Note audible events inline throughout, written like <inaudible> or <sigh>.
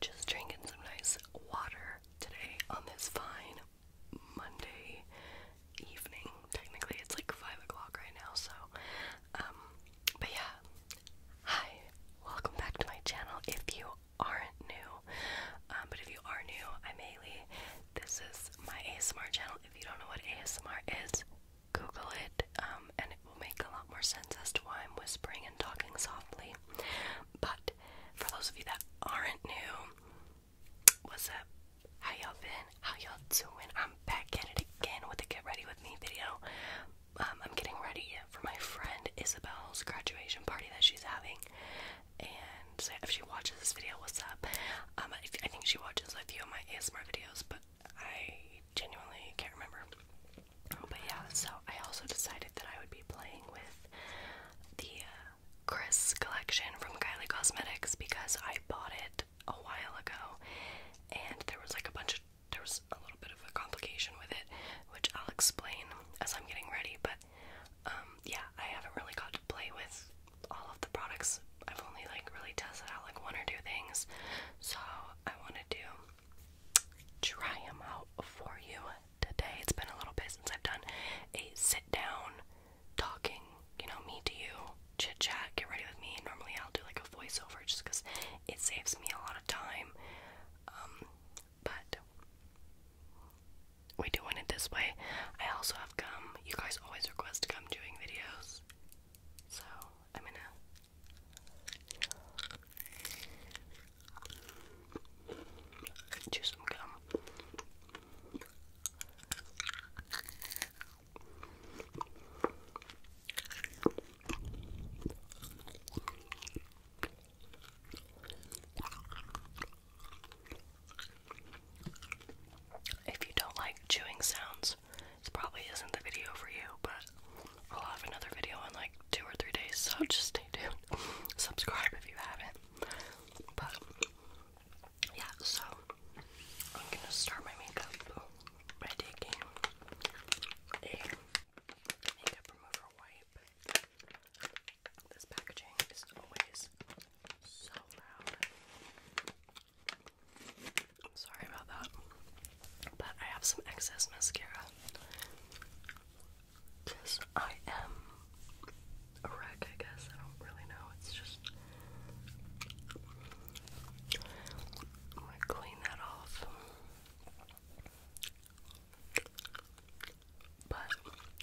just drinking some nice water today on this fine Monday evening. Technically, it's like 5 o'clock right now, so. Um, but yeah. Hi, welcome back to my channel if you aren't new. Um, but if you are new, I'm Haley. This is my ASMR channel. If you don't know what ASMR is, Google it, um, and it will make a lot more sense as to why I'm whispering and talking softly. But for those of you that aren't new, what's up? How y'all been? How y'all doing? I'm back at it again with the Get Ready With Me video. Um, I'm getting ready for my friend Isabel's graduation party that she's having. And if she watches this video, what's up? Um, I think she watches a few of my ASMR videos, but I genuinely can't remember. But yeah, so I also decided that I would be playing with the uh, Chris collection from Kylie Cosmetics because I bought it a while ago and there was like a bunch of there was a little bit of a complication with it, which I'll explain as I'm getting ready, but um, yeah, I haven't really got to play with all of the products. I've only like really tested out like one or two things. So I want to do try them out for you today. It's been a little bit since I've done a sit down talking, you know, me to you, chit chat, get ready with me. Normally I'll do like a voiceover just because it saves me a lot of time. Um, but we doing it this way. I also have come. You guys always request come doing videos. So I'm going Chew some gum. If you don't like chewing sounds, this probably isn't the video for you, but I'll have another video in like two or three days, so just stay tuned. <laughs> Subscribe if you haven't. But yeah, so I'm gonna start my makeup by taking makeup remover wipe. This packaging is always so loud. Sorry about that. But I have some excess mascara. I am a wreck, I guess. I don't really know. It's just. I'm gonna clean that off. But,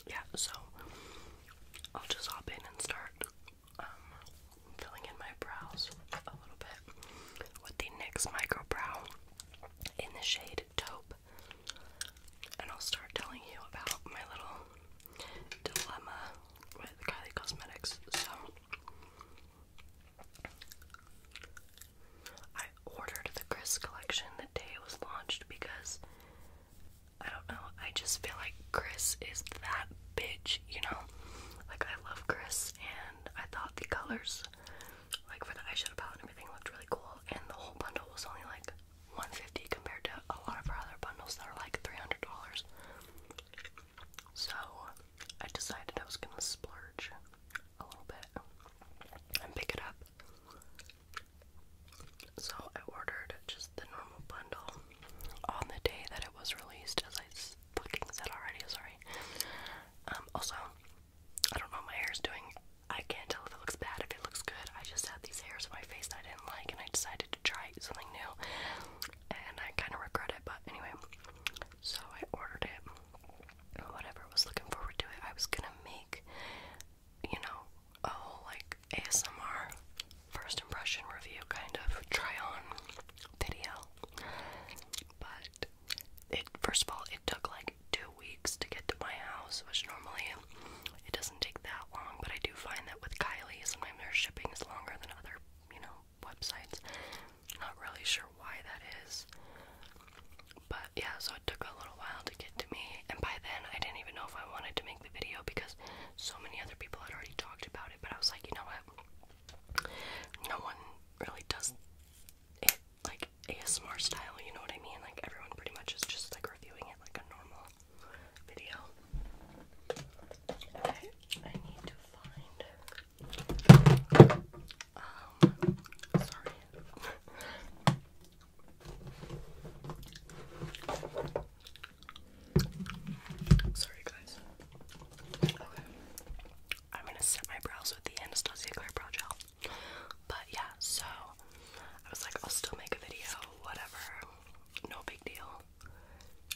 yeah, so I'll just hop in and start um, filling in my brows a little bit with the NYX Micro Brow in the shade Taupe. And I'll start telling you about my little dilemma with Kylie Cosmetics. So, I ordered the Chris collection the day it was launched because I don't know, I just feel like Chris is that bitch you know? Like, I love Chris, and I thought the colors, like, for the eyeshadow palette and everything looked really cool, and the whole bundle was only, like, 150 compared to a lot of our other bundles that are, like, $300. So, I decided I was gonna splurge a little bit and pick it up. So I ordered just the normal bundle on the day that it was released, as I fucking said already, sorry. Um, also, I don't know my hair's doing. I can't tell if it looks bad, if it looks good. I just had these hairs on my face that I didn't like, and I decided to try something new. And I kind of regret it, but anyway. So I ordered it. Whatever, was looking forward to it. I was gonna make, you know, a whole like ASMR first impression review kind of try on video. But it first of all, it took like two weeks to get to my house, which normally it doesn't take that long. But I do find that with Kylie, sometimes their shipping is longer than other, you know, websites. Not really sure why that is. But yeah, so it took a little while to get to me, and by then I didn't even know if I wanted to make the video because so many other people had already talked about it. But I was like, you know what? no one really does it like ASMR style, you know what I mean? Like everyone pretty much is just like reviewing it like a normal video. Okay, I need to find um, sorry. <laughs> Sorry guys. I'm gonna set my brows with the Anastasia Clear Brow Gel. But yeah, so I was like, I'll still make a video, whatever, no big deal.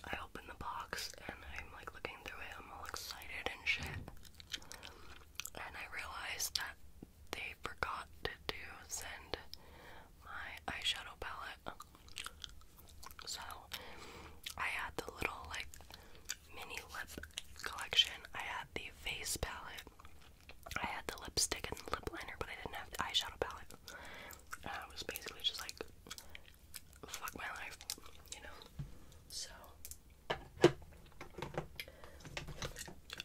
I open the box and I'm like looking through it, I'm all excited and shit. And I realized that they forgot to send my eyeshadow palette. So I had the little like mini lip collection. I had the face palette. I had the lipstick and the lip liner, but I didn't have the eyeshadow palette. Uh, I was basically just like, fuck my life, you know? So,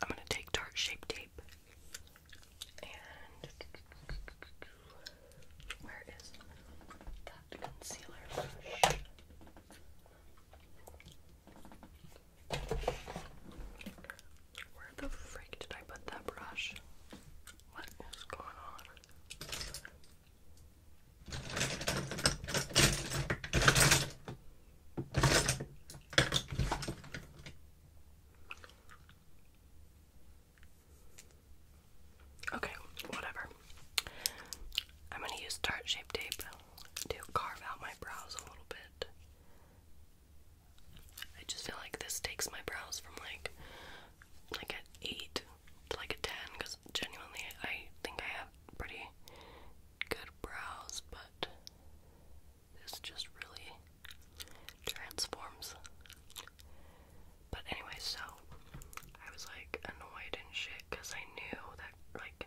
I'm gonna take Tarte Shape Tape where is that concealer brush? Where the freak did I put that brush? What is going on? Okay, whatever. I'm gonna use tart shape tape to carve out my brows a little bit. I just feel like this takes my brows from like like an eight to like a ten because genuinely I think I have pretty good brows, but this just really transforms but anyway, so I was like annoyed and shit because I knew that, like,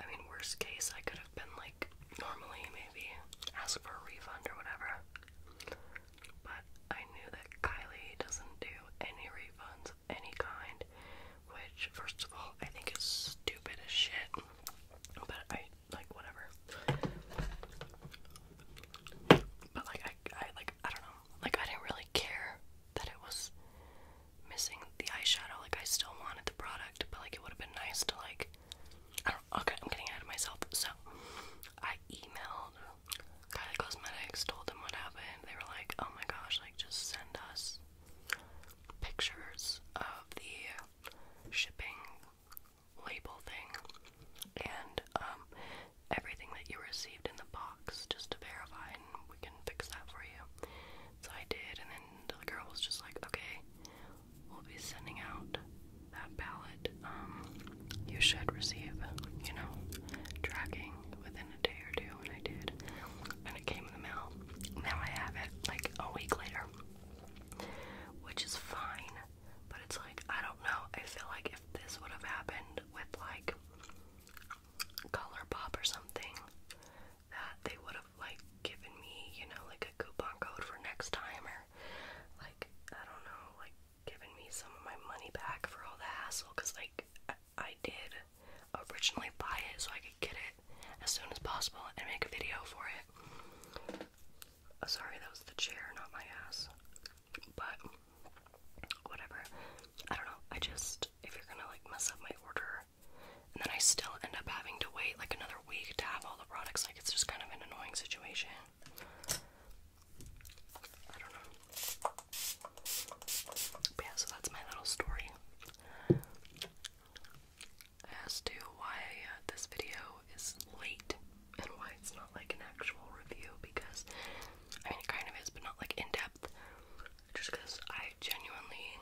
I mean, worst case, I could have been like, normally maybe ask for a refund or whatever. But I knew that Kylie doesn't do any refunds of any kind, which, first of all, I think is stupid as shit. But I, like, whatever. But, like, I, I like, I don't know. Like, I didn't really care that it was missing the eyeshadow. Like, I still wanted the product, but like, it would have been nice to, like, I okay, I'm getting ahead of myself. So, I emailed Kylie Cosmetics, told them what happened. They were like, oh my gosh, like, just send us pictures of the shipping label thing. And, um, everything that you received in the box just to verify and we can fix that for you. So I did, and then the girl was just like, okay, we'll be sending out that palette. Um, you should receive, you know, tracking within a day or two, and I did. And it came in the mail. Now I have it like a week later, which is fine, but it's like, I don't know. I feel like if this would have happened with like color pop or something that they would have like given me, you know, like a coupon code for next time or like I don't know, like giving me some of my money back for all the hassle cuz like I, did originally buy it so I could get it as soon as possible and make a video for it. sorry, that was the chair, not my ass but whatever. I don't know. I just, if you're gonna like mess up my order, and then I still end up having to wait like another week to have all the products, like it's just kind of an annoying situation. I don't know. yeah, so that's my little story as to why uh, this video is late and why it's not like an actual review because I mean, it kind of is, but not like in depth. Just because I genuinely.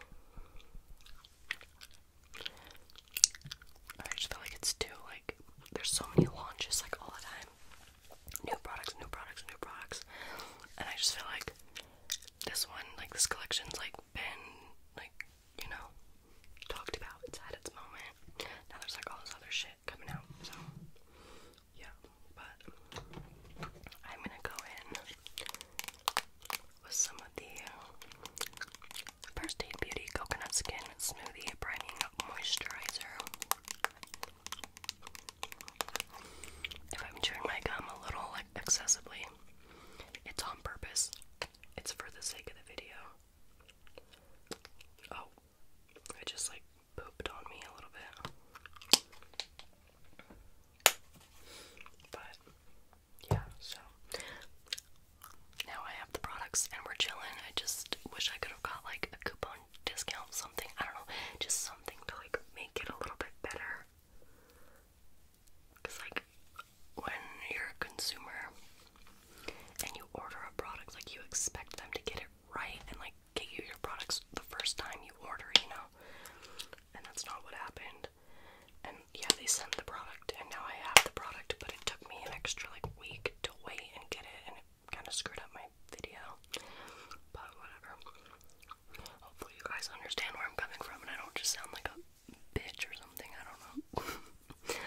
I just feel like it's too, like, there's so many launches, like, all the time. New products, new products, new products. And I just feel like this one, like, this collection's, like, been, like, you know, talked about. It's had its moment. Now there's, like, all this other shit coming out, so yeah. But I'm gonna go in with some of the First Aid Beauty Coconut Skin Smoothie Priming Moisturizer. If I'm chewing my gum a little excessively, it's on purpose. It's for the sake of the video. Oh, it just like pooped on me a little bit. But yeah, so now I have the products and we're chilling. I just wish I could have got like a coupon discount, something. I don't know, just something to like make it a little bit better. Because, like, when you're a consumer and you order a product, like, you expect them to get it right and, like, get you your products the first time you order, you know? And that's not what happened. And yeah, they sent the product, and now I have the product, but it took me an extra like week to wait and get it, and it kind of screwed up my video. But whatever. Hopefully, you guys understand where I'm coming from, and I don't just sound like a bitch or something. I don't know. <laughs>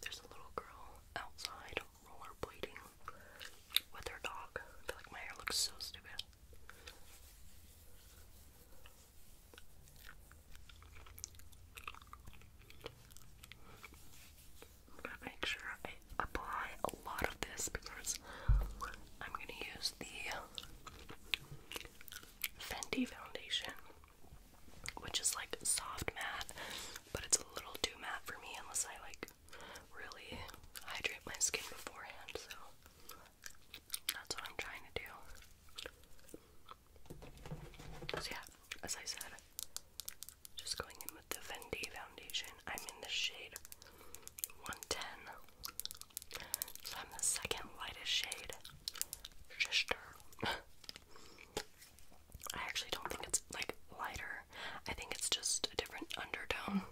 There's a little girl outside rollerblading with her dog. I feel like my hair looks so stupid. gonna make sure I apply a lot of this because I'm gonna use the Fenty foundation which is like soft matte, but it's a little too matte for me unless I like really hydrate my skin beforehand. So that's what I'm trying to do. So yeah, as I said, just going in with the Fendi foundation. I'm in the shade 110. So I'm the second lightest shade. Shister. <laughs> I actually don't think it's like lighter. I think it's just a different undertone.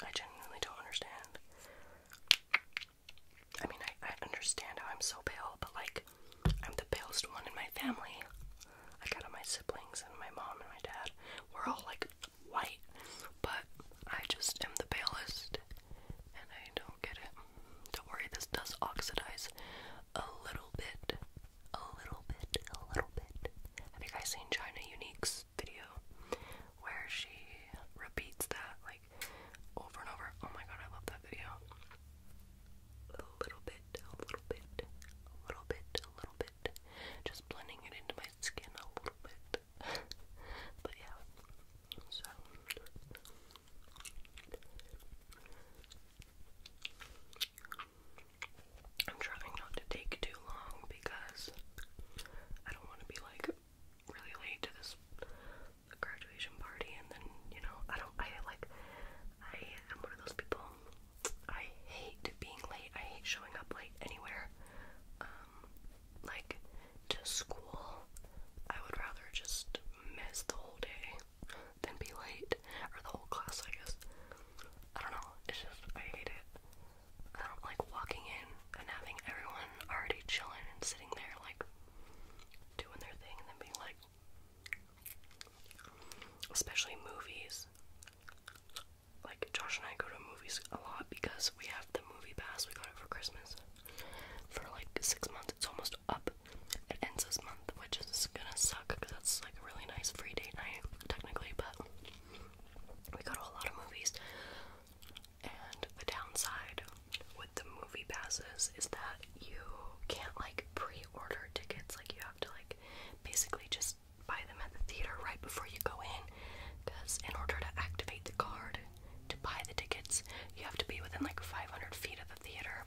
I genuinely don't understand. I mean, I, I understand how I'm so pale, but like, I'm the palest one in my family. Like, out of my siblings and my mom and my dad, we're all like white, but I just am the palest, and I don't get it. Don't worry, this does oxidize a little bit. A little bit, a little bit. Have you guys seen China Unique's video where she repeats that like over and over? Oh my god, I love that video. A little bit, a little bit, a little bit, a little bit. Just blending it into my skin a little bit. <laughs> but yeah. So I'm trying not to take too long because I don't want to be like really late to this graduation party and then, you know, I don't, I like, I am one of those people, I hate being late, I hate showing up late anywhere, um, like, to school, I would rather just miss the whole day than be late, or the whole class, I guess. I don't know, it's just, I hate it. I don't like walking in and having everyone already chilling and sitting there, like, doing their thing and then being like, especially movies. Like, Josh and I go to movies a lot because we have the movie pass, we got it for Christmas for like six months. It's almost up. It ends this month, which is gonna suck because that's like a really nice free date night, technically. But we go to a lot of movies, and the downside with the movie passes is that you can't like pre-order tickets. Like you have to like basically just buy them at the theater right before you go in, because in order to activate the card, to buy the tickets, you have to be within like 500 feet of the theater,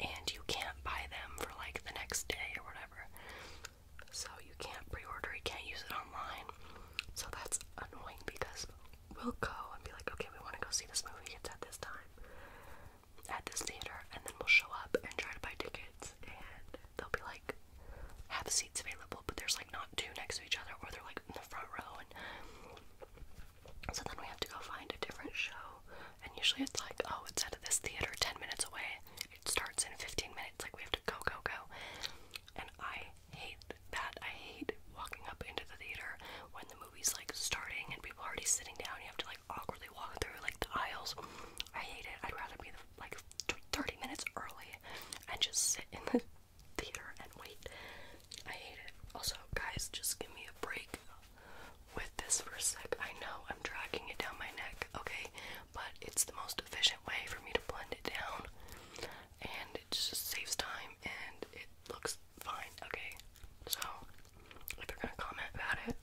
and you can't buy them for like the next day or whatever. So you can't pre-order, you can't use it online. So that's annoying because we'll go and be like, okay, we want to go see this movie. It's at this time, at this theater, and then we'll show up and try to buy tickets, and they'll be like, have seats available, but there's like not two next to each other, or they're like in the front row, and so then we have to go find a different show, and usually it's like, oh, it's at this theater 10 minutes away. It starts in 15 minutes. Like we have to go, go, go. And I hate that. I hate walking up into the theater when the movie's like starting and people are already sitting down. You have to like awkwardly walk through like the aisles. I hate it. I'd rather be like 30 minutes early and just sit in the theater and wait. I hate it. Also, guys, just give me a break with this for a sec. I know I'm dragging it down my neck, okay? But it's the most efficient way for me to blend it down. And it just saves time and it looks fine, okay? So, if you're gonna comment about it,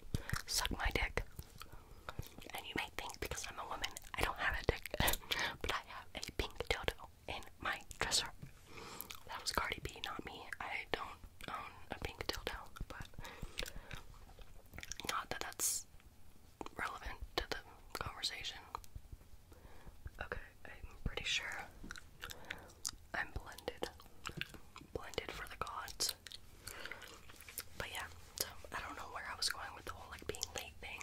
suck my dick. And you may think because I'm a woman, I don't have a dick, <laughs> but I have a pink dildo in my dresser. That was Cardi B, not me. I don't own a pink dildo, but not that that's relevant to the conversation. Okay, I'm pretty sure I'm blended. Blended for the gods. But yeah, so I don't know where I was going with the whole like being late thing,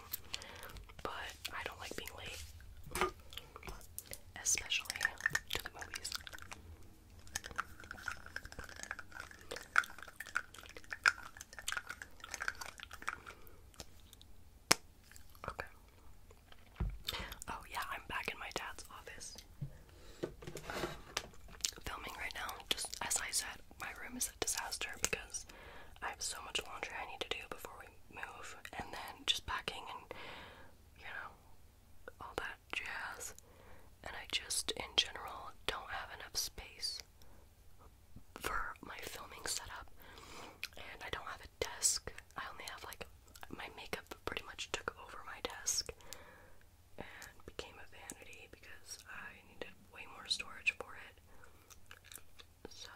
but I don't like being late especially to the movies. Okay. Oh, yeah, I'm back in my dad's office. filming right now. Just as I said, my room is a disaster because I have so much laundry I need to do before we move, and then just packing and you know, all that jazz. And I just, in general, don't have enough space for my filming setup, and I don't have a desk. I only have like my makeup pretty much took over my desk and became a vanity because I needed way more storage for it so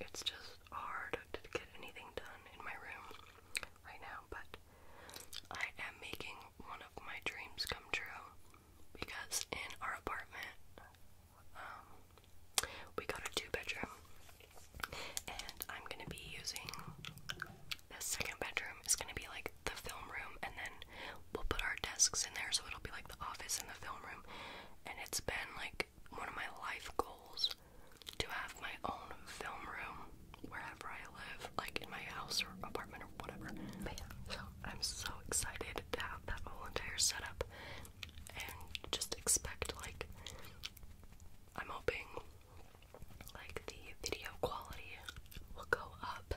it's just hard to get anything done in my room right now, but I am making one of my dreams come true because in our apartment, um, we got a two bedroom, and I'm gonna be using the second bedroom It's gonna be like the film room, and then we'll put our desks in there, so it'll be like the office in the film room. And it's been like one of my life goals to have my own film room wherever I live, like in my house or apartment or whatever. so I'm so excited to have that whole entire setup and just expect like I'm hoping like the video quality will go up.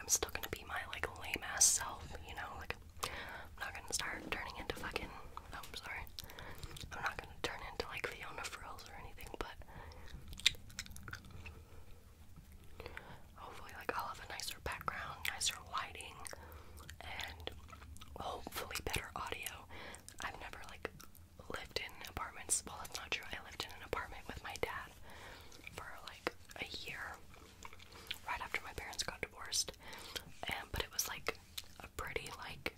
I'm still gonna be my like lame ass self, you know, like I'm not gonna start turning into fucking. Oh, I'm sorry. I'm not gonna turn into like Fiona Frills or anything, but hopefully, like I'll have a nicer background, nicer lighting, and hopefully better audio. I've never like lived in apartments. Well, that's not true. I lived in an apartment with my dad for like a year right after my parents got divorced, and but it was like a pretty like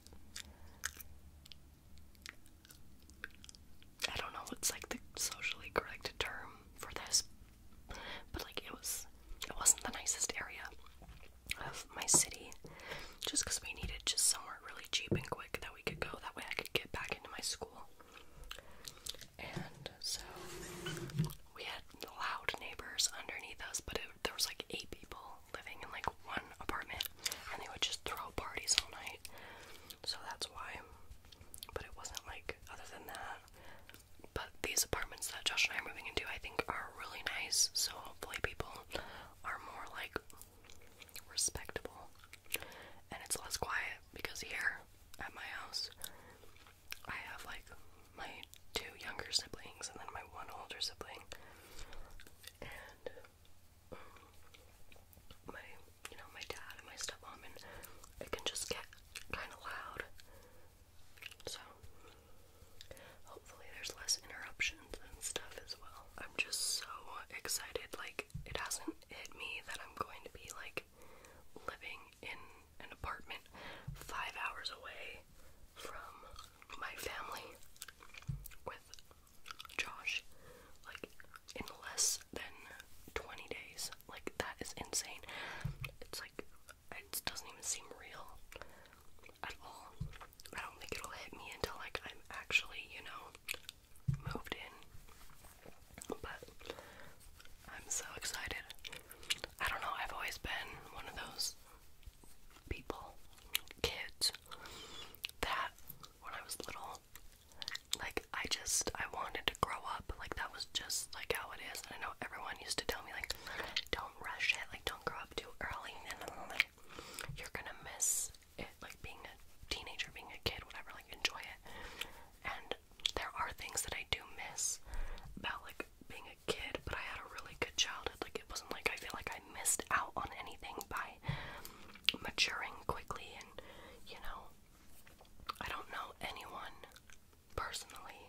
I don't know what's like the socially correct term for this, but like it was it wasn't the nicest area of my city just because we needed just somewhere really cheap and quick that we could go that way I could get back into my school. And so we had loud neighbors underneath us, but it there was like eight people living in like one apartment, and they would just throw parties all night. So that's why. But it wasn't like other than that. But these apartments that Josh and I are moving into, I think, are really nice. So hopefully, people are more like respectable, and it's less quiet because here at my house, I have like my two younger siblings and then my one older sibling. And um, my, you know, my dad and my stepmom, and it can just get kind of loud. So, hopefully, there's less interruptions and stuff as well. I'm just so excited. Like, it hasn't hit me that I'm going to be like living in an apartment five hours away from my family with Josh, like in less than 20 days. Like, that is insane. It's like, it doesn't even seem real at all. I don't think it'll hit me until, like, I'm actually, you know, moved in. But I'm so excited. I don't know, I've always been one of those people, kids, that when I was little, like I just I wanted to grow up. Like that was just like how it is. And I know everyone used to tell me like, don't rush it, like don't grow up too early, and like you're gonna miss it, like being a teenager, being a kid, whatever, like enjoy it. And there are things that I do miss about like being a a kid, but I had a really good childhood. Like it wasn't like I feel like I missed out on anything by maturing quickly and you know I don't know anyone personally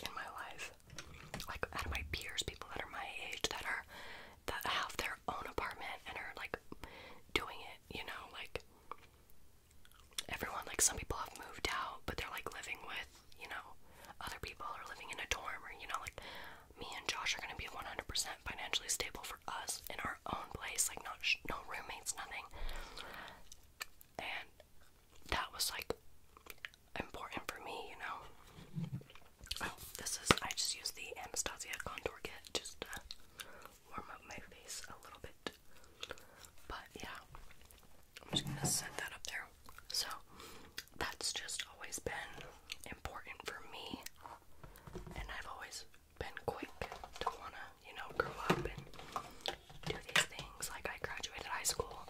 in my life. Like out of my peers, people that are my age that are that have their own apartment and are like doing it, you know, like everyone like some people have moved out but they're like living with you know, other people are living in a dorm or, you know, like me and Josh are going to be 100% financially stable for us in our own place, like not no roommates, nothing. And that was like important for me, you know. Oh, this is I just used the Anastasia contour kit just to warm up my face a little bit. But yeah. I'm just gonna set that up there. So that's just always been important for me, and I've always been quick to wanna, you know, grow up and do these things. Like I graduated high school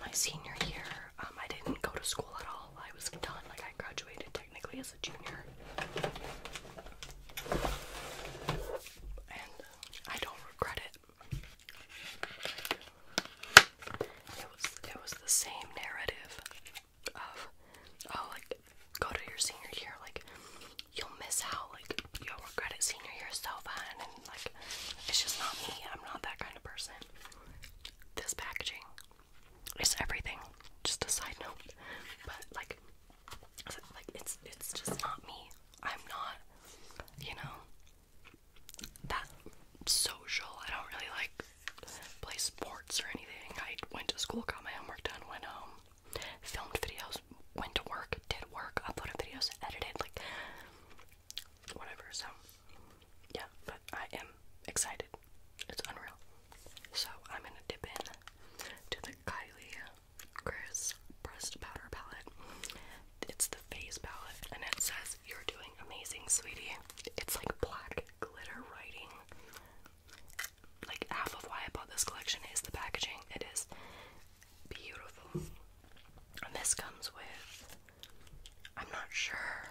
my senior year. Um, I didn't go to school at all. I was done. Like I graduated technically as a junior. And I don't regret it it was it was the same narrative of oh like go to your senior year like you'll miss out like you'll regret senior year so fun and like it's just not me I'm not that kind of person. This packaging is everything. Just a side note, but like like it's it's just not me. I'm not you know that social. I don't really like play sports or anything. I went to school, got my homework done, went home, filmed videos, went to work, did work, uploaded videos, edited, like whatever. So yeah, but I am excited. It's unreal. So I'm gonna dip in to the Kylie Chris pressed powder palette it's the Phase palette, and it says, You're doing amazing, sweetie. It's like black glitter writing. Like, half of why I bought this collection is the packaging. It is beautiful. And this comes with, I'm not sure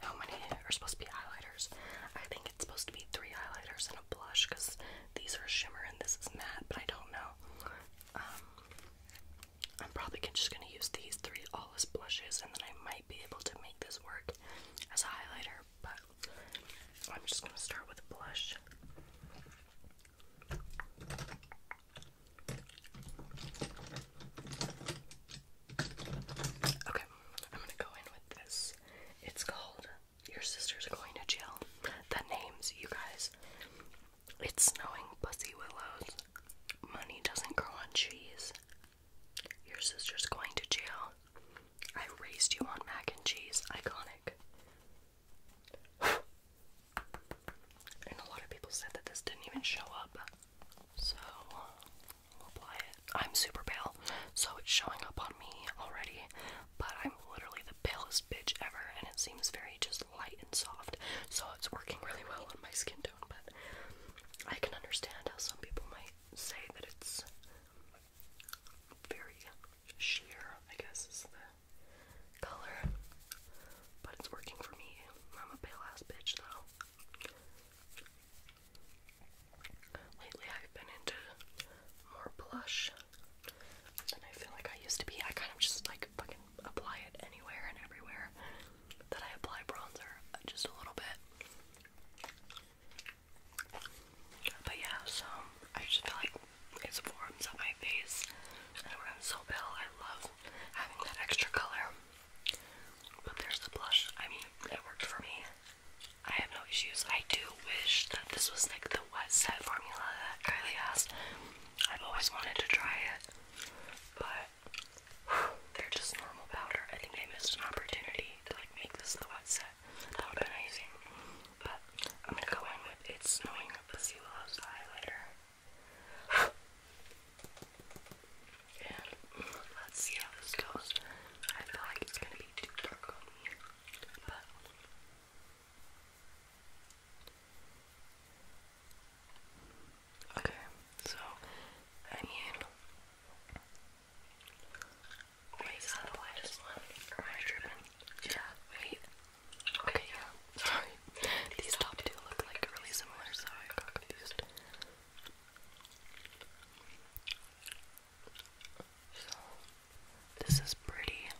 how many are supposed to be highlighters. I think it's supposed to be three highlighters and a blush because these are shimmer and this is matte, but I don't know. Um, I'm probably just going to use these three all blushes, and then I might be able to make this work as a highlighter, but I'm just going to start with a blush. Okay, I'm going to go in with this. It's called Your Sister's Going to Jail. The names, you guys. It's snowing pussy willows. Money doesn't grow on trees. Your sister's going to jail. I raised you on mac and cheese. Iconic. and a lot of people said that this didn't even show up. So, apply it. I'm super pale, so it's showing up on me already. But I'm literally the palest bitch ever, and it seems very just light and soft, so it's working really well on my skin tone, but I can understand how some people might say that it's very sheer, I guess is the color, but it's working for me. I'm a pale ass bitch though. Lately I've been into more blush than I feel like I used to be. I kind of just like fucking apply it anywhere and everywhere that I apply bronzer, just a little bit. But yeah, so I just feel like it forms on my face, and I'm so pale, I love having that extra color. But there's the blush. I mean, it worked for me. I have no issues. I do wish that this was like the wet set formula that Kylie has. I've always wanted to try it, but <sighs> they're just normal powder. I think they missed an opportunity to like make this the set. That would have amazing. But I'm gonna go in with It's Snowing Up the highlighter. <sighs> And let's see how this goes. I feel like it's gonna be too dark on me, but Okay, so I mean, wait, is that the lightest one? am I tripping? Yeah, wait. Okay, yeah, sorry. These top two look like really similar, so I got confused. So, this is pretty.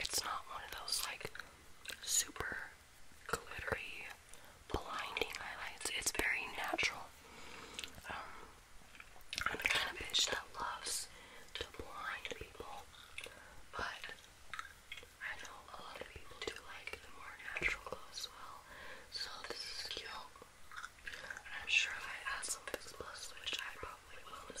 It's not one of those like super glittery, blinding highlights. It's very natural. Um, I'm the kind of bitch that loves to blind people, but I know a lot of people do like the more natural glow as well. So this is cute. I'm sure I add some of this blush, which I probably will in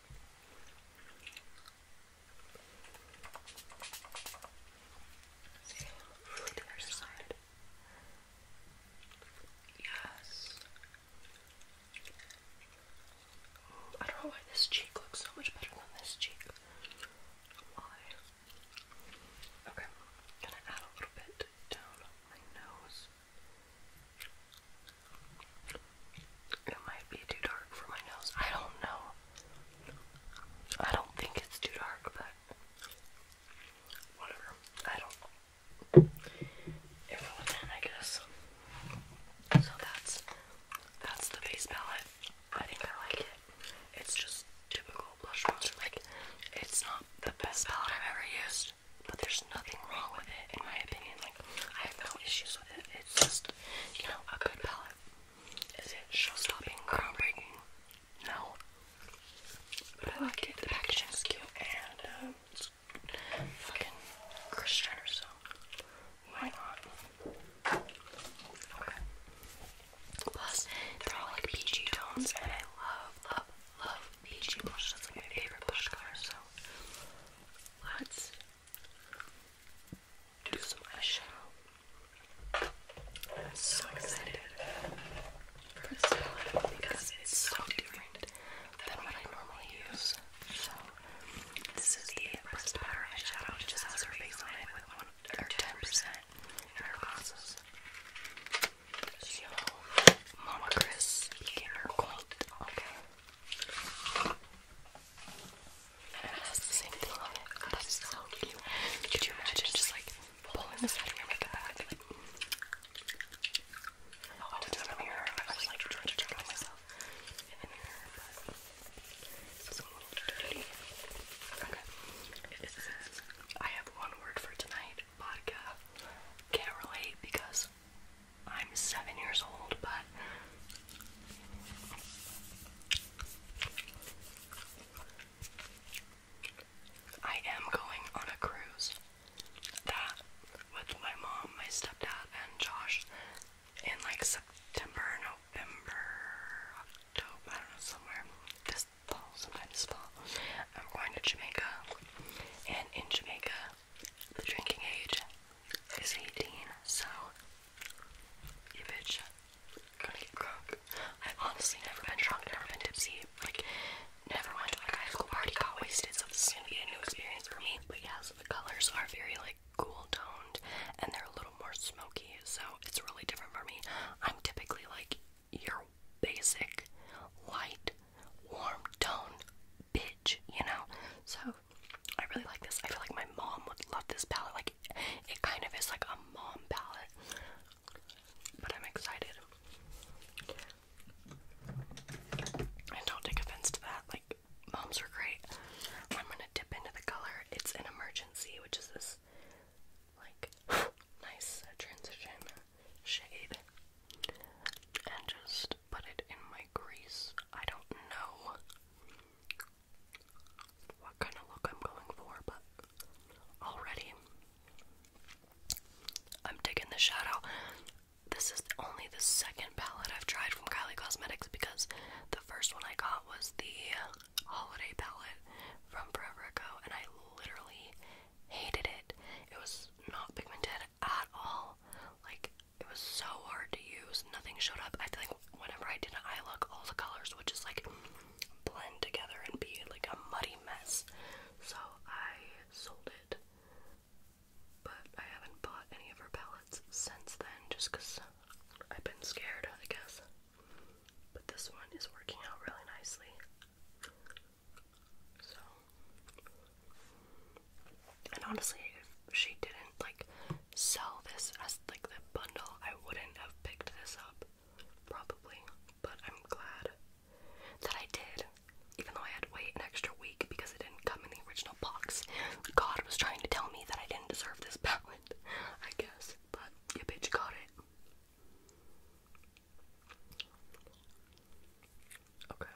the other side. Yes. I don't know why this cheek looks so much better than this cheek. Why? Okay, gonna add a little bit down my nose. It might be too dark for my nose. I don't know. I don't think it's too dark, but whatever. I don't. Everyone in, I guess. So that's that's the base palette. I think I like it. It's just typical blush monster. Like it's not the best palette I've ever used, but there's nothing wrong with it in my opinion. I have no issues with it. It's just, you know, a good palette. Is it show-stopping, groundbreaking? No. But I like it. The packaging is cute and um, fucking Christian or so. Why not? Plus, they're all like peachy tones, and I love, love, love peachy blush. That's like my favorite blush color. So let's do some eyeshadow. I'm so excited for this palette because it's so different than what I normally use. So this is the Pressed Powder eyeshadow. It just has her face on it with one ten percent in glasses. So, Mama Chris became her gold. Okay same thing on it. that is so cute. Could you imagine just like pulling this out of your makeup bag? I was in the oh, mirror. I was like trying myself in the mirror, it's a little dirty. Okay. I have one word for tonight vodka. Can't relate because I'm seven years old, but I am going on a cruise that with my mom, my stepdad, and Josh in like September, November, October, I don't know, somewhere this fall, sometime this fall. I'm going to Jamaica, and in Jamaica, the drinking age is 18, so you bitch, gonna get drunk. I've honestly never been drunk, never been tipsy, like never went to like a high school party, got wasted, so this is gonna be a new experience for me. But yeah, the colors are very like cool toned and they're a little more smoky, so it's really different for me. I'm typically like your basic light warm tone bitch, you know? So I really like this. I feel like my mom would love this palette. Like it kind of is like a mom palette. But I'm excited. And don't take offense to that. Like moms are great. I'm gonna dip into the color. It's an emergency, which is this like <gasps> nice uh, transition shade. And just put it in my grease. I don't know what kind of look I'm going for, but already I'm digging the shadow. This is only the second palette I've tried from Kylie Cosmetics because the first one I got was the holiday palette from Forever Ago, and I literally hated it. It was not pigmented at all. Like, it was so hard to use. Nothing showed up. I think whenever I did an eye look, all the colors would just like blend together and be like a muddy mess. So I sold it. But I haven't bought any of her palettes since then just because I've been scared, I guess. But this one is working out really nicely. So and honestly, if she didn't like sell this as like the bundle, I wouldn't have picked this up probably. But I'm glad that I did, even though I had to wait an extra week because it didn't come in the original box. God was trying to tell me that I didn't deserve this palette, <laughs> I guess. But your bitch got it. Okay.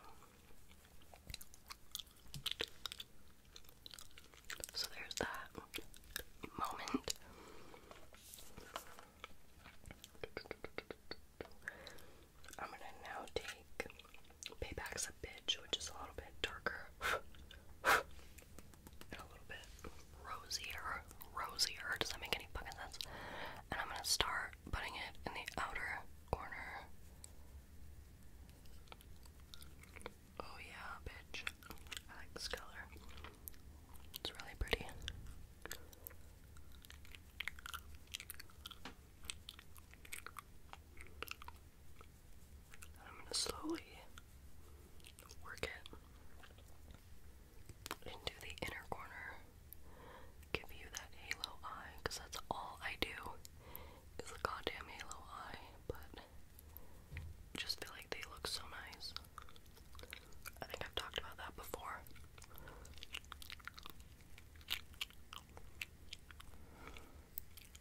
So there's that moment. I'm gonna now take Payback's a Bitch, which is a little bit darker and a little bit rosier. Rosier, does that make any fucking sense? And I'm gonna start putting it in the outer corner Oh yeah, bitch. I like this color. It's really pretty. I'm gonna slowly work it into the inner corner give you that halo eye because that's all I do is a goddamn halo eye, but just feel like they look so nice. I think I've talked about that before.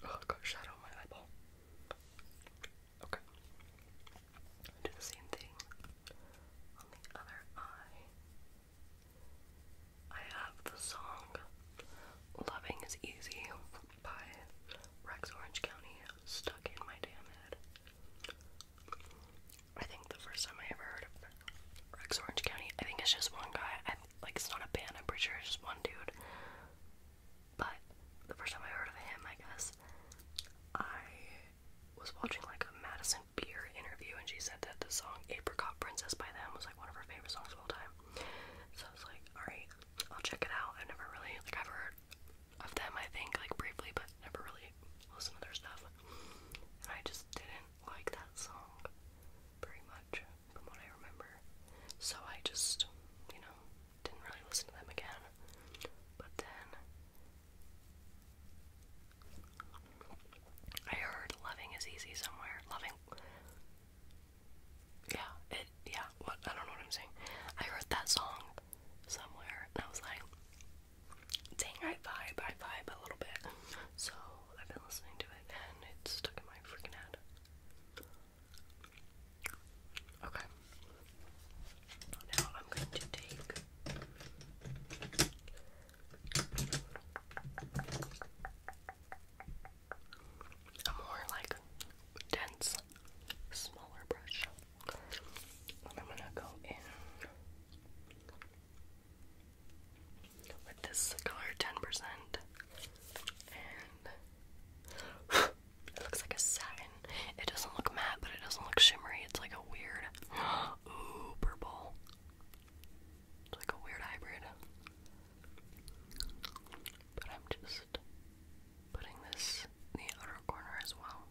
Oh, I shadow my eyeball. Okay. Do the same thing on the other eye. I have the song Loving is Easy by Rex Orange County stuck in my damn head. I think the first time I ever heard of Rex Orange County, I think it's just one guy. I, like, it's not a band, I'm pretty sure it's just one dude. But the first time I heard of him, I guess, I was watching like a Madison Beer interview and she said that the song Apricot Princess by them was one of her favorite songs of all time. So I was like, alright, I'll check it out. I've never really like i heard of them I think, like briefly, but never really listened to their stuff. And I just didn't like that song very much from what I remember. So I just, you know, didn't really listen to them again. But then I heard loving is easy somewhere. Loving. Yeah, it. Yeah, what? I don't know what I'm saying. I heard that song somewhere, and I was like, dang, I vibe, I vibe a little bit. So I've been listening to it, and it's stuck in my freaking head. Okay. Now I'm going to take. A more like dense, smaller brush. And I'm gonna go in with this color 10% and it looks like a satin. It doesn't look matte, but it doesn't look shimmery. It's like a weird, <gasps> ooh, purple. It's like a weird hybrid. But I'm just putting this the outer corner as well.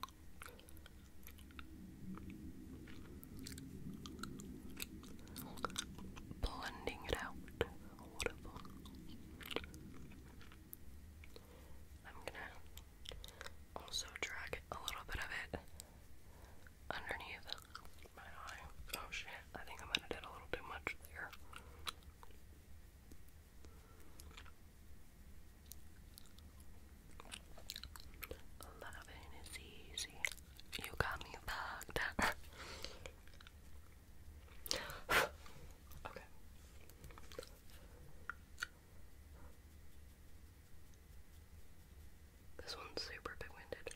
Blending it out. I'm gonna also drag a little bit of it underneath my eye. Oh shit, I think I might have did a little too much there. Loving is easy. You got me bugged. <laughs> okay. This one's super winded.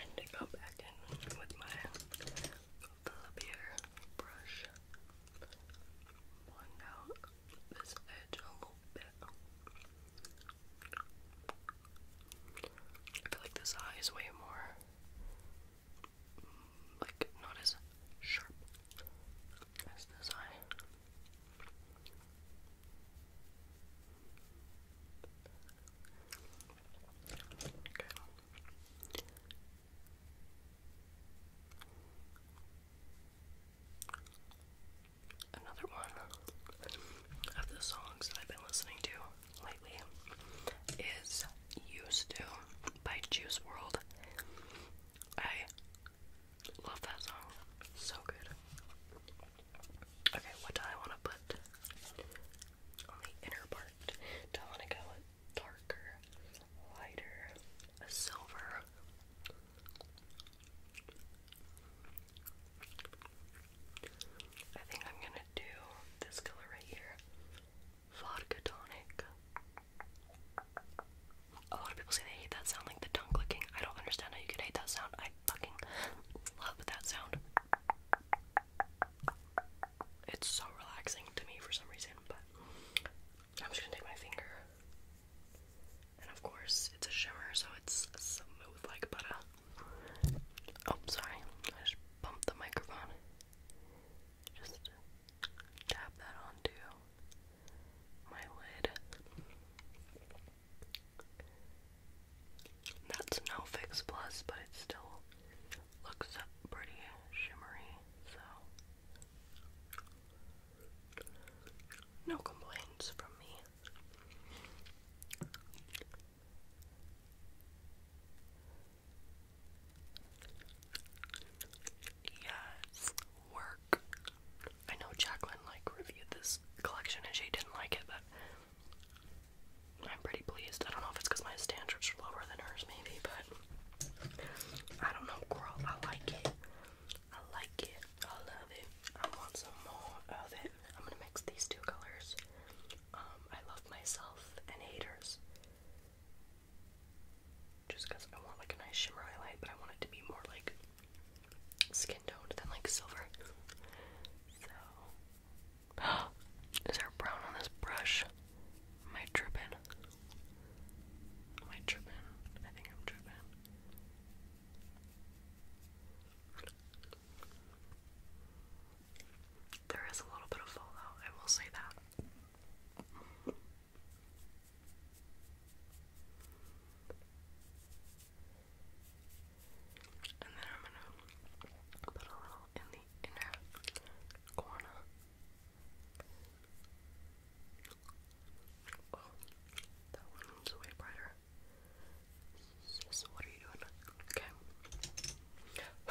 And to go back in with my flippier brush, blend out this edge a little bit. I feel like this eye is way more, mm, like, not as sharp that's the sign. Another one of the songs that I've been listening to lately is Used to by Juice World. I Love that song. So good. Okay, what do I want to put on the inner part? Do I want to go darker, lighter, a silver? I think I'm gonna do this color right here. Vodka tonic a lot of people say they hate that sound, like the tongue clicking. I don't understand how you could hate that sound. I fucking love that sound. It's so relaxing to me for some reason, but I'm just gonna take my finger. And of course, it's a shimmer, so it's smooth like butter. Oh, sorry. I just bumped the microphone. Just tap that on my lid. That's no Fix Plus, but it still looks pretty shimmery, so no complaints from me. Yes, work. I know Jacqueline like reviewed this collection and she didn't like it, but I'm pretty pleased. I don't know if it's because my standards are lower than hers, maybe, but I don't know, girl. I like it. I like it. I love it. I want some more of it. I'm gonna mix these two colors. Um, I love myself and haters just because I want like a nice shimmer highlight, but I want it to be more like skin toned than like silver. So, <gasps> is there brown on this brush? Am I tripping? Am I tripping? I think I'm tripping. There is a little bit of fallout, I will say that. And then I'm gonna put a little in the inner corner. Oh, that one's way brighter. what are you doing?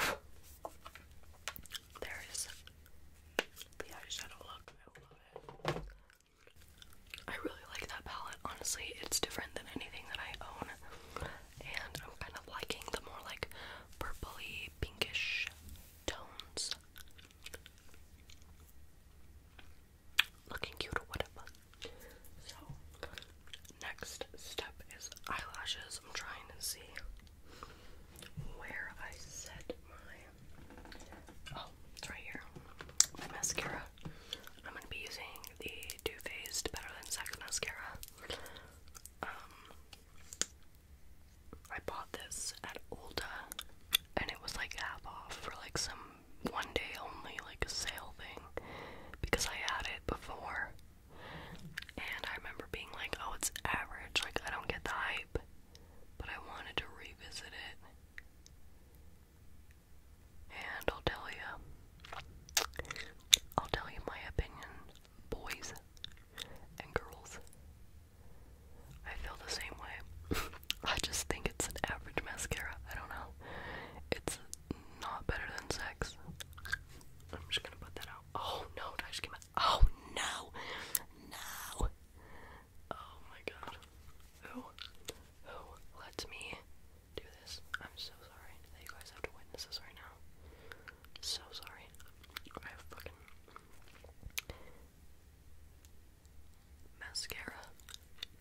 Okay. <sighs> there is the eyeshadow look. I love it. I really like that palette. Honestly, it's different than anything that I own. And I'm kind of liking the more like purply, pinkish tones. Looking cute or whatever. So, next step is eyelashes. I'm trying to see where I set my Oh, it's right here. mascara. I'm gonna be using the Too Faced Better Than Sex mascara. Um, I bought this at Ulta, and it was like half off for like some one day only like a sale thing because I had it before, and I remember being like, "Oh, it's average. Like I don't get the hype," but I wanted to revisit it. And I'll tell you, I'll tell you my opinion, boys and girls. I feel the same way. <laughs> I just think it's an average mascara. I don't know. It's not better than sex. I'm just gonna put that out. Oh no, I just came out? Oh no! No! Oh my god. Who? Who lets me do this? I'm so sorry that you guys have to witness this right now. So sorry. I have fucking mascara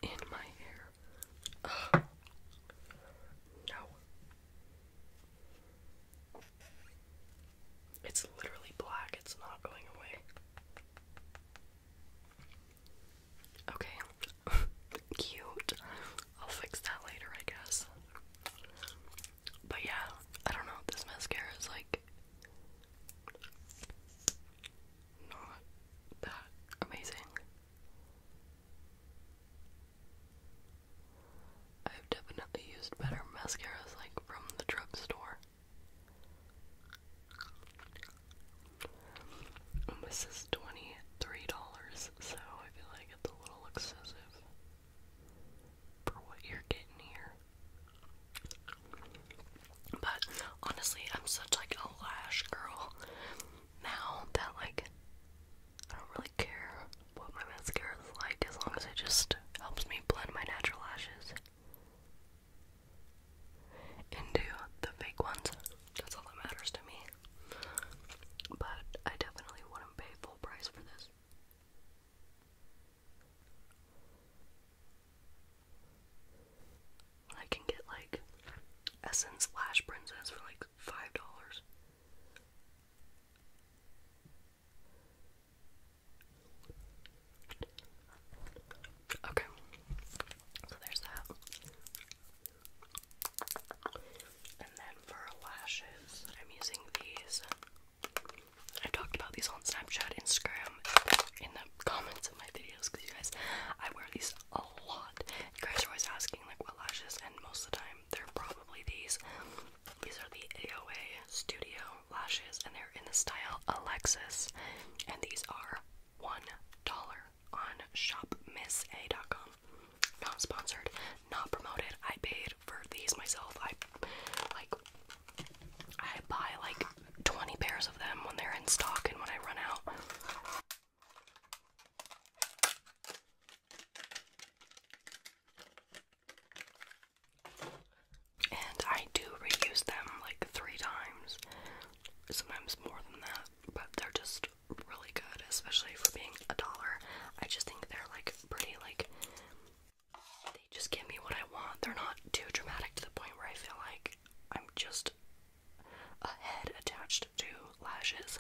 in my hair. No. It's literally black, it's not going away. Okay. <laughs> Cute. I'll fix that later, I guess. But yeah, I don't know. This mascara is like not that amazing. I've definitely used better mascaras like from the drugstore. Oh, this is $23, so I feel like it's a little excessive for what you're getting here. But honestly, I'm such like a lash girl now that like I don't really care what my mascara is like as long as it just helps me blend my natural lashes into the fake ones. That's all that matters to me. But I definitely wouldn't pay full price for this. I can get like Essence Lash Princess for like $5. Okay, so there's that. And then for lashes, I'm using these. I've talked about these on Snapchat, Instagram, in the comments of my videos because you guys, I wear these a lot. You guys are always asking like what lashes, and most of the time they're probably these. These are the AOA Studio lashes, and they're in the style Alexis. And these are one dollar on shopmissa.com. Not sponsored, not promoted. I paid for these myself. I like I buy like 20 pairs of them when they're in stock and when I run out. And I do reuse them like three times, sometimes more than that, but they're just really good, especially for being a dollar. I just think they're like pretty, like, they just give me what I want. They're not too dramatic to the point where I feel like I'm just a head attached to lashes,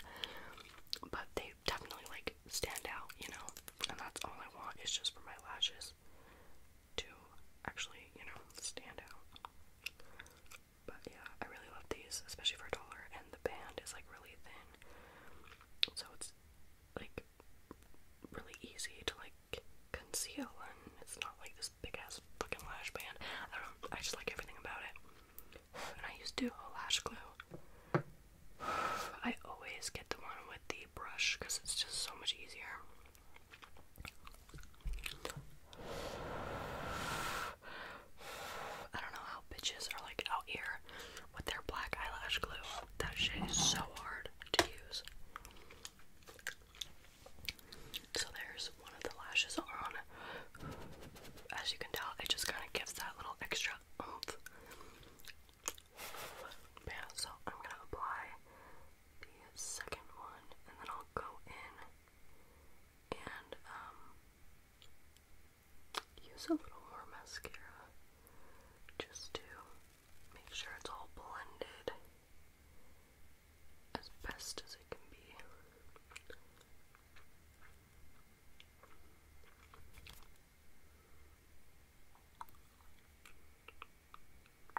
but they definitely like stand out, you know? And that's all I want is just for my lashes to actually, you know, stand out. But yeah, I really love these, especially for a dollar, and the band is like really thin, so it's like really easy to like conceal, and it's not like this big ass fucking lash band. I don't, I just like everything about it. <sighs> And I used to do a lash glue. <sighs> I always get the one with the brush because it's just so much easier. <sighs> I don't know how bitches are like out here with their black eyelash glue. That shit is so hard to use. So there's one of the lashes on. As you can tell, it just kind of gives that little extra Yeah, so I'm gonna apply the second one, and then I'll go in and um use a little more mascara just to make sure it's all blended as best as it can be.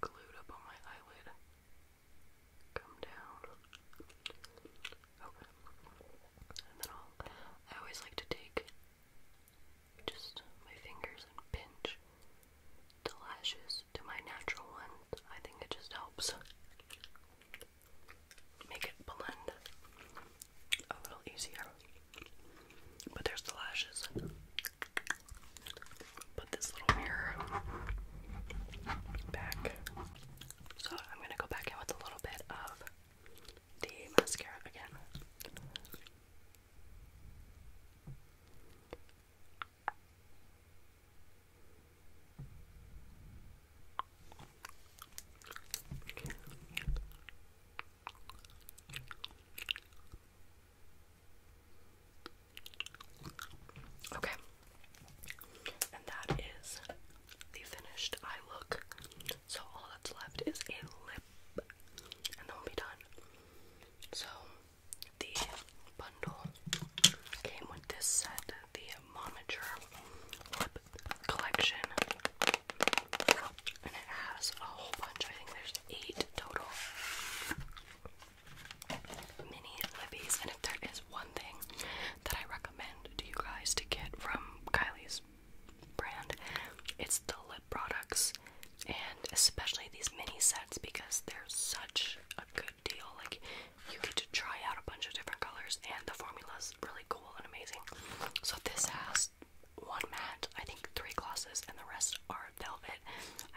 glued up on my eyelid. Come down. Okay. And then I'll. I always like to take just my fingers and pinch the lashes to my natural ones. I think it just helps make it blend a little easier. But there's the lashes. Put this little mirror back. So I'm gonna go back in with a little bit of the mascara again. Okay. And that is the finished eye look. So all that's left is a lip. And then we'll be done. So the bundle came with this set, the Momager lip collection. And it has a whole bunch. I think there's eight total mini libbies. And if there is one thing that I recommend to you guys to get from Kylie's brand, it's the lip products and especially these mini sets because they're such a good deal. Like, you get to try out a bunch of different colors, and the formula is really cool and amazing. So, this has one matte, I think three glosses, and the rest are velvet.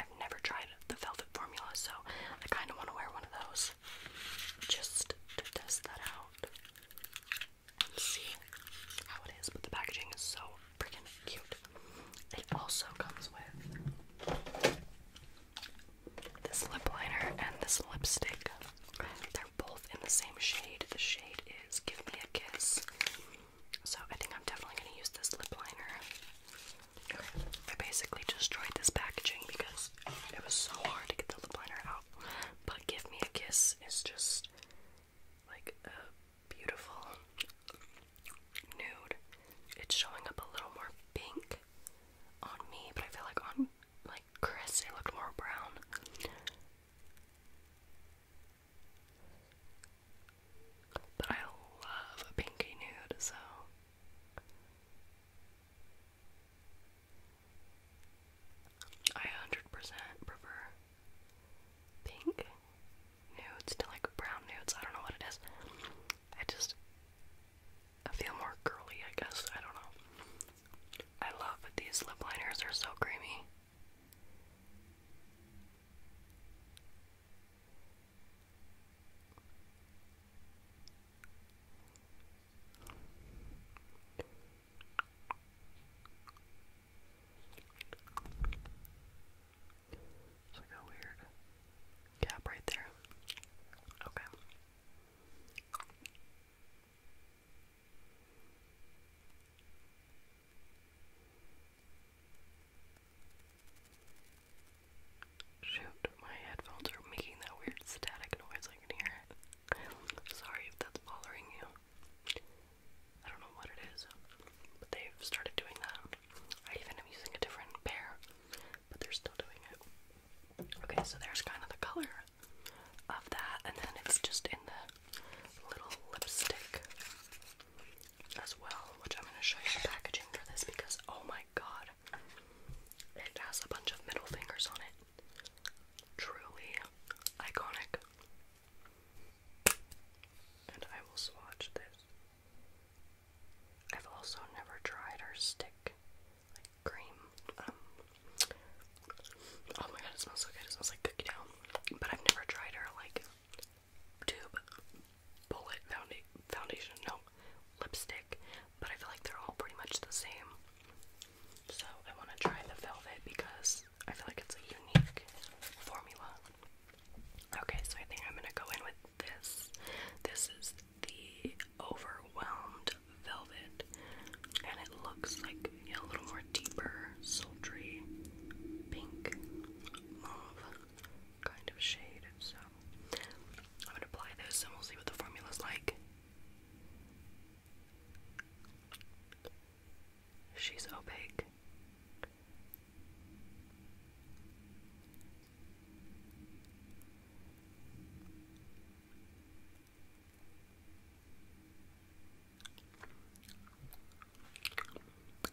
I've never tried the velvet formula, so I kind of want to wear one of those just to test that out see how it is. But the packaging is so freaking cute. It also comes with this lip liner and this lipstick. They're both in the same shade. The shade is Give Me a Kiss. So I think I'm definitely going to use this lip liner. I basically destroyed this packaging because it was so hard to get the lip liner out. But Give Me a Kiss is just like a beautiful nude. It's showing up a little more pink on me, but I feel like on like Chris it looked more brown. But I love a pinky nude, so. I 100% prefer pink nudes to like brown nudes. I don't know what it is. I just. feel more girly, I guess. I don't know. I love these lip liners, they're so creamy. It's like a weird gap right there. Okay. Shoot, my headphones are making that weird static noise. I can hear it. Sorry if that's bothering you. I don't know what it is, but they've started doing that. I even am using a different pair, but they're still doing it. Okay, so there's kind of the color of that, and then it's just in the little lipstick as well, which I'm going to show you the packaging for this because oh my god, it has a bunch of middle fingers on it. Truly iconic. And I will swatch this. I've also never tried our stick like cream. Um, oh my god, it smells so good. It smells like cookie dough. But I've never tried our like tube bullet founda foundation, no, lipstick, but I feel like they're all pretty much the same. So I want to try the velvet because I feel like it's a unique formula. Okay, so I think I'm gonna go in with this. This is the Overwhelmed Velvet, and it looks like a little more deeper, sultry, pink, mauve kind of shade, so I'm gonna apply this and we'll see what the formula's like. She's opaque.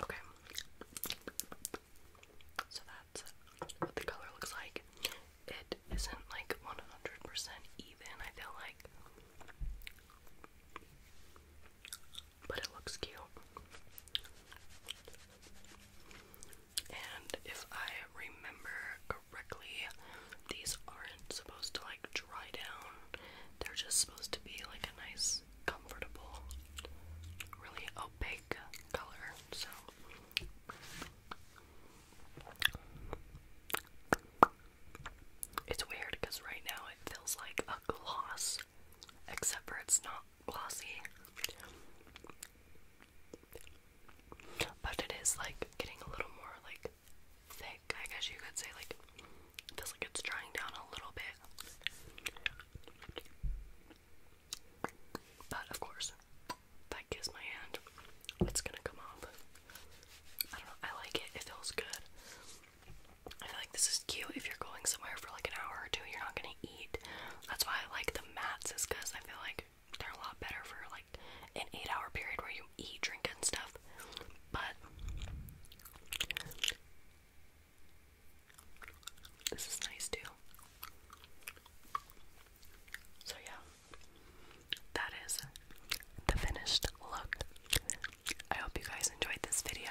Okay. So that's what the color looks like. It isn't like 100% even, I feel like but it looks cute. And if I remember correctly, these aren't supposed to like dry down. They're just supposed to be like a nice, comfortable, really opaque color. So it's weird because right now it feels like a gloss Except for it's not glossy. But it is like getting a little more like thick, I guess you could say. Like, it feels like it's drying down a little bit. But of course, that kiss my hand, it's gonna come off. I don't know, I like it, it feels good. I feel like this is cute if you're going somewhere for like an hour or two, you're not gonna eat. That's why I like the mats, is because I feel like they're a lot better for like an eight hour period where you eat, drink, and stuff. But this is nice too. So, yeah, that is the finished look. I hope you guys enjoyed this video.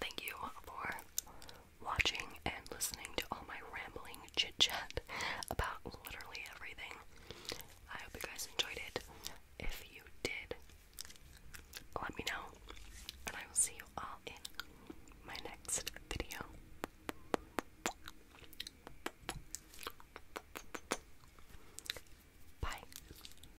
Thank you for watching and listening to all my rambling chit about literally everything. I hope you guys enjoyed it. If you did, let me know, and I will see you all in my next video. Bye.